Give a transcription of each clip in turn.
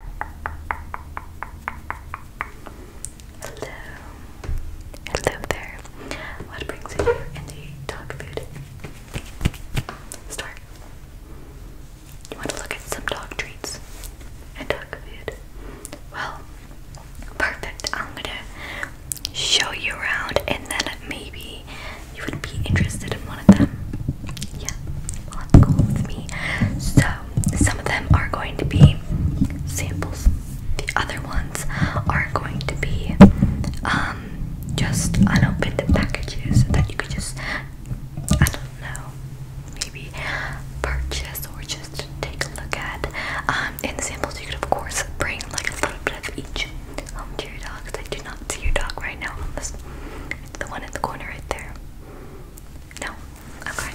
Hello. Hello there. What brings you here in the dog food store? You want to look at some dog treats and dog food? Well, perfect. I'm gonna show you around and then maybe you would be interested in one of them. Yeah, let with me. So, some of them are going to be samples. The other ones are going to be um, just unopened packages that you could just, I don't know, maybe purchase or just take a look at. in um, the samples, you could of course bring like a little bit of each home um, to your dog. Because I do not see your dog right now it's the one in the corner right there. No? Okay.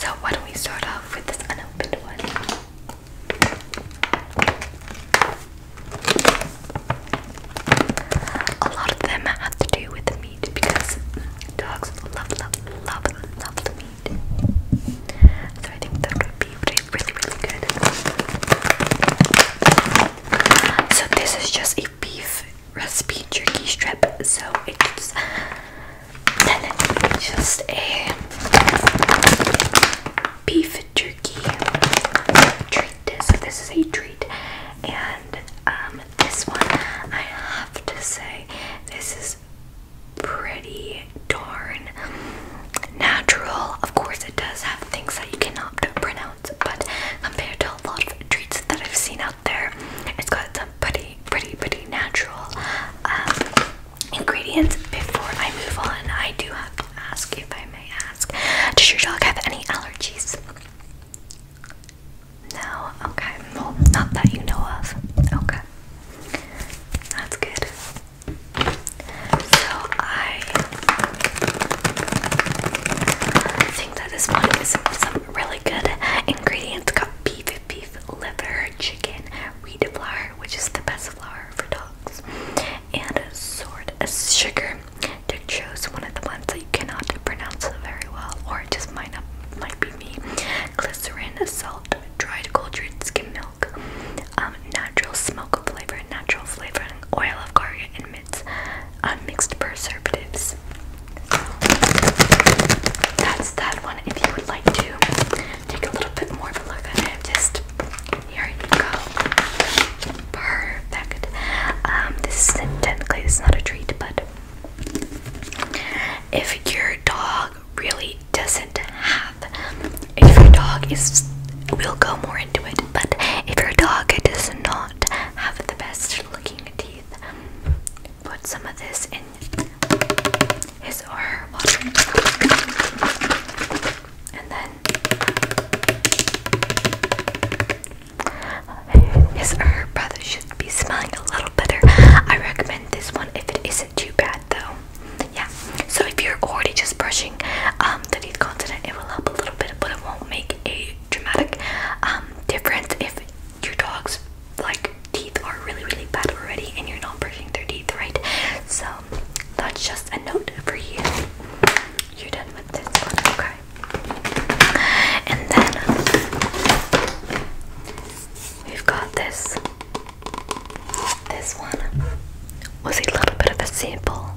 So why don't we start off with this unopened one? A lot of them have to do with the meat because dogs love, love, love, love the meat. So I think that would be really, really good. So this is just a beef recipe jerky strip. So it's just a beef jerky treat. So this is a treat, and um, this one I have to say this is pretty darn natural. Of course, it does have things that you cannot pronounce but compared to a lot of treats that I've seen out there, it's got some pretty, pretty, pretty natural um, ingredients. Before I move on, I do have to ask, if I may ask, does your dog have any allergies? No? Okay, well, not that you know of. Okay. That's good. So I think that this one is really good ingredients got beef, beef liver, chicken, wheat flour, which is the best flour for dogs, and a sort of sugar. Dick chose one of the ones that you cannot pronounce very well, or it just might not might be me. Glycerin, salt, dried cultured skim milk, um, natural smoke flavor, natural flavoring, oil of garlic, and Unmixed preservatives. That's that one. If you would like to take a little bit more of a look at it, just here you go. Perfect. Um, this technically is not a treat, but if your dog really doesn't have, if your dog is, we'll go more into it. But if your dog does not have the best looking teeth Put some of this in his or her water. And then his or her brother should be smelling a little better. I recommend this one if it isn't too bad though. Yeah. So if you're already just brushing um, the teeth content, it will help a little bit, but it won't make a dramatic um, difference if your dog's like teeth are really really bad already and you're not brushing their teeth right so that's just a note for you you're done with this one okay and then we've got this this one was a little bit of a sample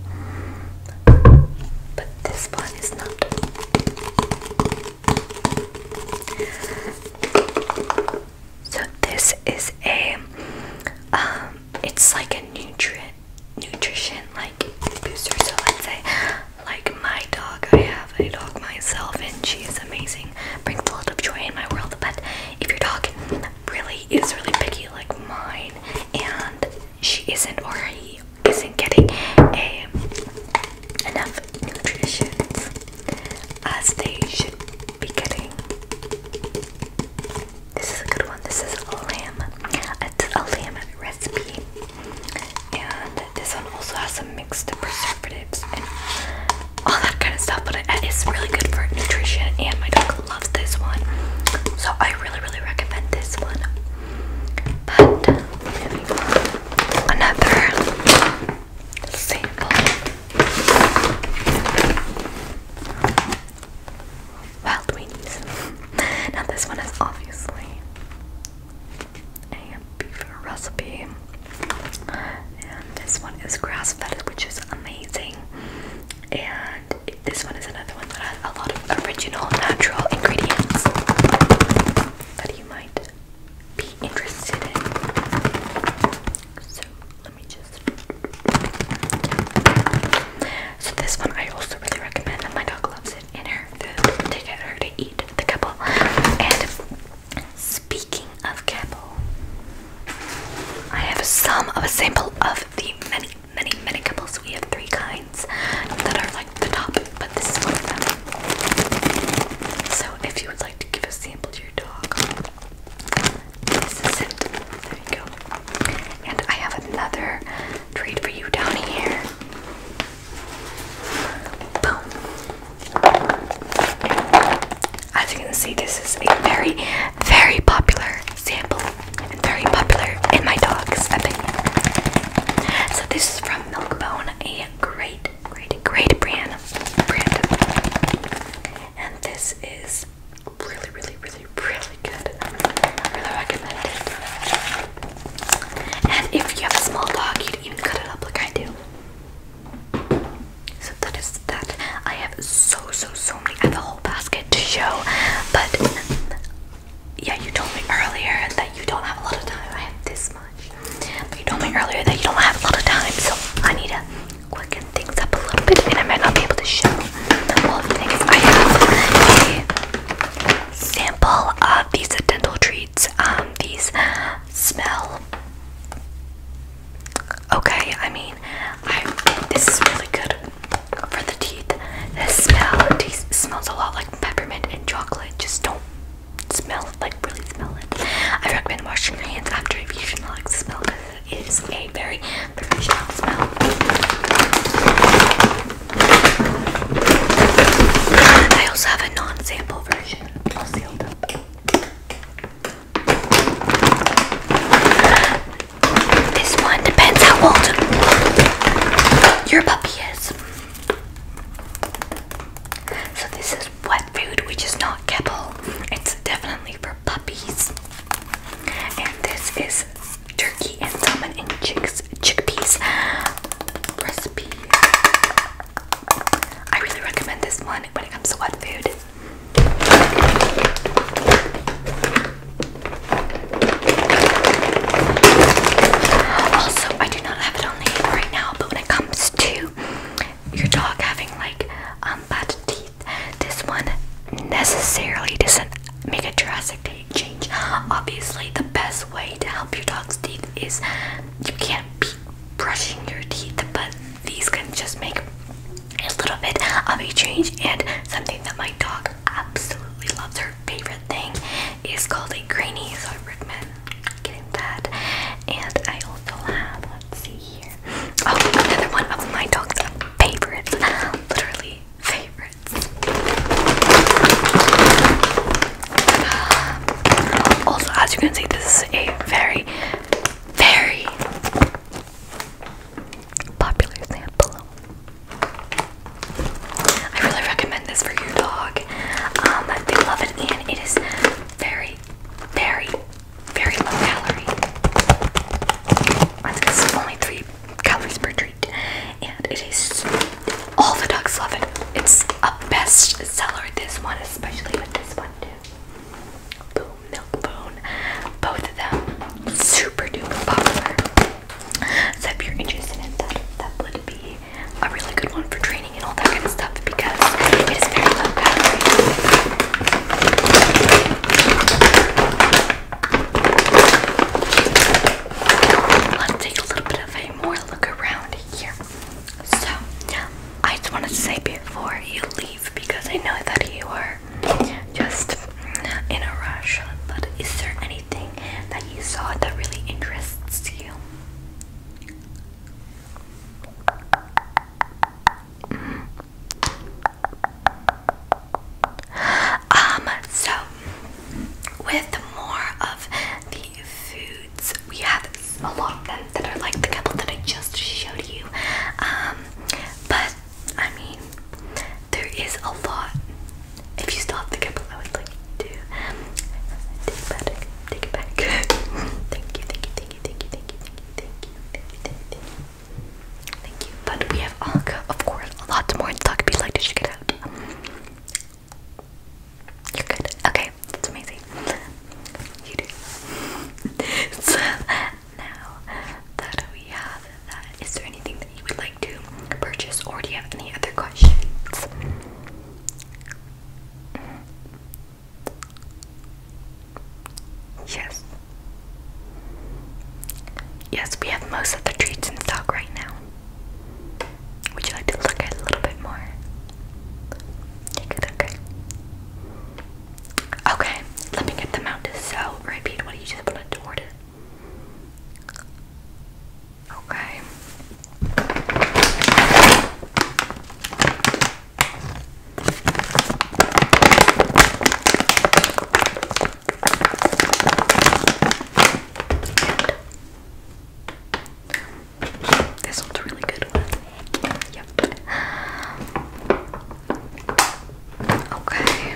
but this one is not so this is a um it's like a nutrient nutrition like booster. So let's say like my dog, I have a dog myself and she is amazing, brings a lot of joy in my world. But if your dog really is really picky like mine and she isn't already isn't getting enough nutrition as they should be getting. This is a good one. This is a lamb. It's a lamb recipe, and this one also has some mixed preservatives and all that kind of stuff. But it is really good for nutrition, and my dog loves this one, so I really, really recommend this one. But another sample. Wild weenies. Now this one is obviously a beef recipe, and this one is grass-fed, which is amazing. And this one is another one that has a lot of original natural ingredients that might be interested in. So let me just. So this one I also really recommend. And my dog loves it. And her food to get her to eat the kibble. And speaking of couple, I have some of a sample of the many, many, many couples. We have three kinds that are like the top, but this is one of them. So if you would like to give a sample to your dog, this is it. There you go. And I have another treat for you down here. Boom. As you can see, this is a very, very popular sample and very popular in my dog's opinion. So this is from Milkbone, a great, great, great brand. And this is really, really, really, really good. really recommend And if you have a small dog, you'd even cut it up like I do. So that is that. I have so so so many. I have a whole basket to show, but yeah, you told me earlier that you don't have a lot of time. I have this much. you told me earlier that you don't have a lot of time, so I need to quicken things up a little bit, and I might not be able to show all the things. I have a sample of these dental treats. Um, these smell okay. I mean, I this is really good for the teeth. This smell, it smells a lot like peppermint and chocolate. Just don't smell, like really smell it. I recommend washing your hands after if you should not like the smell because it is a very professional smell. I also have a non-sample version, all sealed up. This one depends how old your puppy is. So this is wet food, which is not kibble. It's definitely for puppies. And this is turkey and salmon and chicks, chickpeas recipe. I really recommend this one when it comes to wet food. Also, I do not have it on the right now, but when it comes to your dog having like um, bad teeth, this one necessarily doesn't make a drastic change. Obviously, the best way to help your dog's teeth is you can't be brushing your teeth, but these can just make a little bit of a change. And something that my dog absolutely loves, her favorite thing is called a grainy, so I getting that. And I also have, let's see here. Oh, another one of my dog's favorites. Literally favorites. Also, as you can see, this is a very, very popular sample. I really recommend this for your dog. Um, they love it and it is very, very, very low calorie. I think it's only three calories per treat, and it is all the dogs love it. It's a best seller. This one, especially with this one too. Boom, milk bone. Both of them super duper popular. So if you're interested in that, that would be a really good one for training and all that kind of stuff because Let's take a little bit of a more look around here. So, I just want to say before you leave because I know that you are just in a rush, but is there anything that you saw that really interests you? Um, so with more of the foods, we have a lot of them that are like the couple that I just showed you. Um, but I mean, there is a lot if you still have the kibble, I would like you to take it back. Take it back. thank you, thank you, thank you, thank you, thank you, thank you, thank you, thank you, thank you. Thank you. But we have, of course, lots more in If you'd like to check it out, you're Okay, that's amazing. You do. so now that we have that, is there anything that you would like to purchase, or do you have any other questions? Yes. Yes, we have most of the treats in stock right now. Would you like to look at a little bit more? Take Okay, let me get them out. So, repeat what you just wanted to order. Okay. this one's really good Yep. Okay.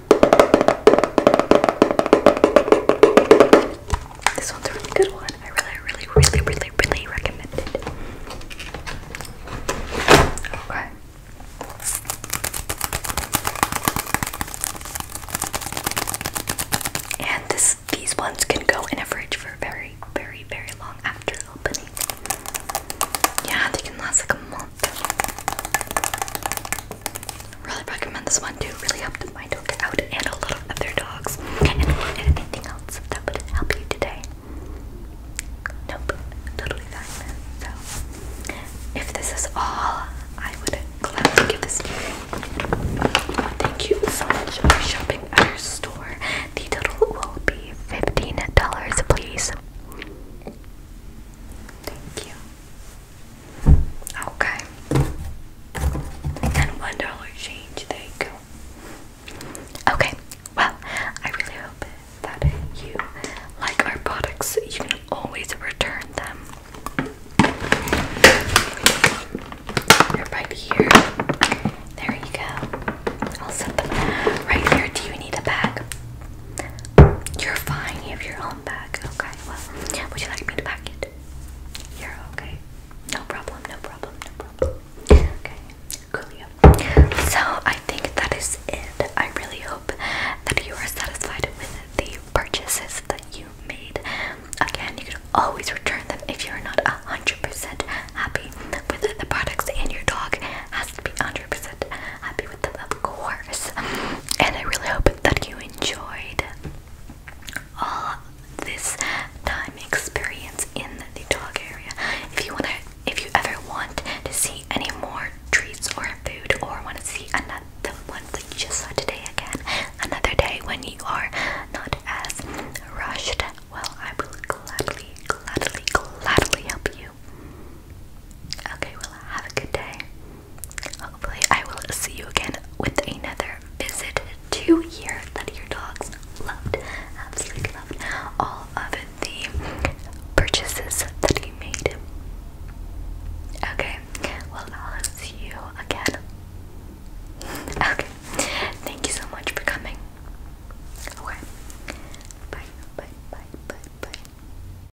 This one's a really good one. I really, really, really, really, really recommend it. Okay. And this these ones can go in a fridge for very, very, very long after opening. Yeah, they can last like a month. Really recommend this one too. Really helped my dog out and a lot other dogs. And anything else that would help you today? Nope, totally fine. So, if this is all, I would gladly give this Thank you so much for shopping at our store. The total will be $15, please. Thank you. Okay. And one dollar change, there you go. Okay, well, I really hope that you like our products. You can always return them. They're here. There you go. I'll set them right here. Do you need a bag? You're fine. You have your own bag. Okay. Well, would you like me to pack it? You're okay. No problem. No problem. No problem. Okay. Coolio. So I think that is it. I really hope that you are satisfied with the purchases that you made. Again, you can always return them if you're not hundred percent happy with the products, and your dog has to be hundred percent happy with of course. And I really hope that you enjoyed all this time experience in the dog area. If you wanna, if you ever want to see any more treats or food, or want to see another one that you just saw today again, another day when you are not as rushed, well, I will gladly, gladly, gladly help you. Okay, well, have a good day. Hopefully, I will see you again with another visit to hear that your dogs loved, absolutely loved all of the purchases that you made. Okay, well, I'll see you again. Okay, thank you so much for coming. Okay, bye, bye, bye, bye, bye.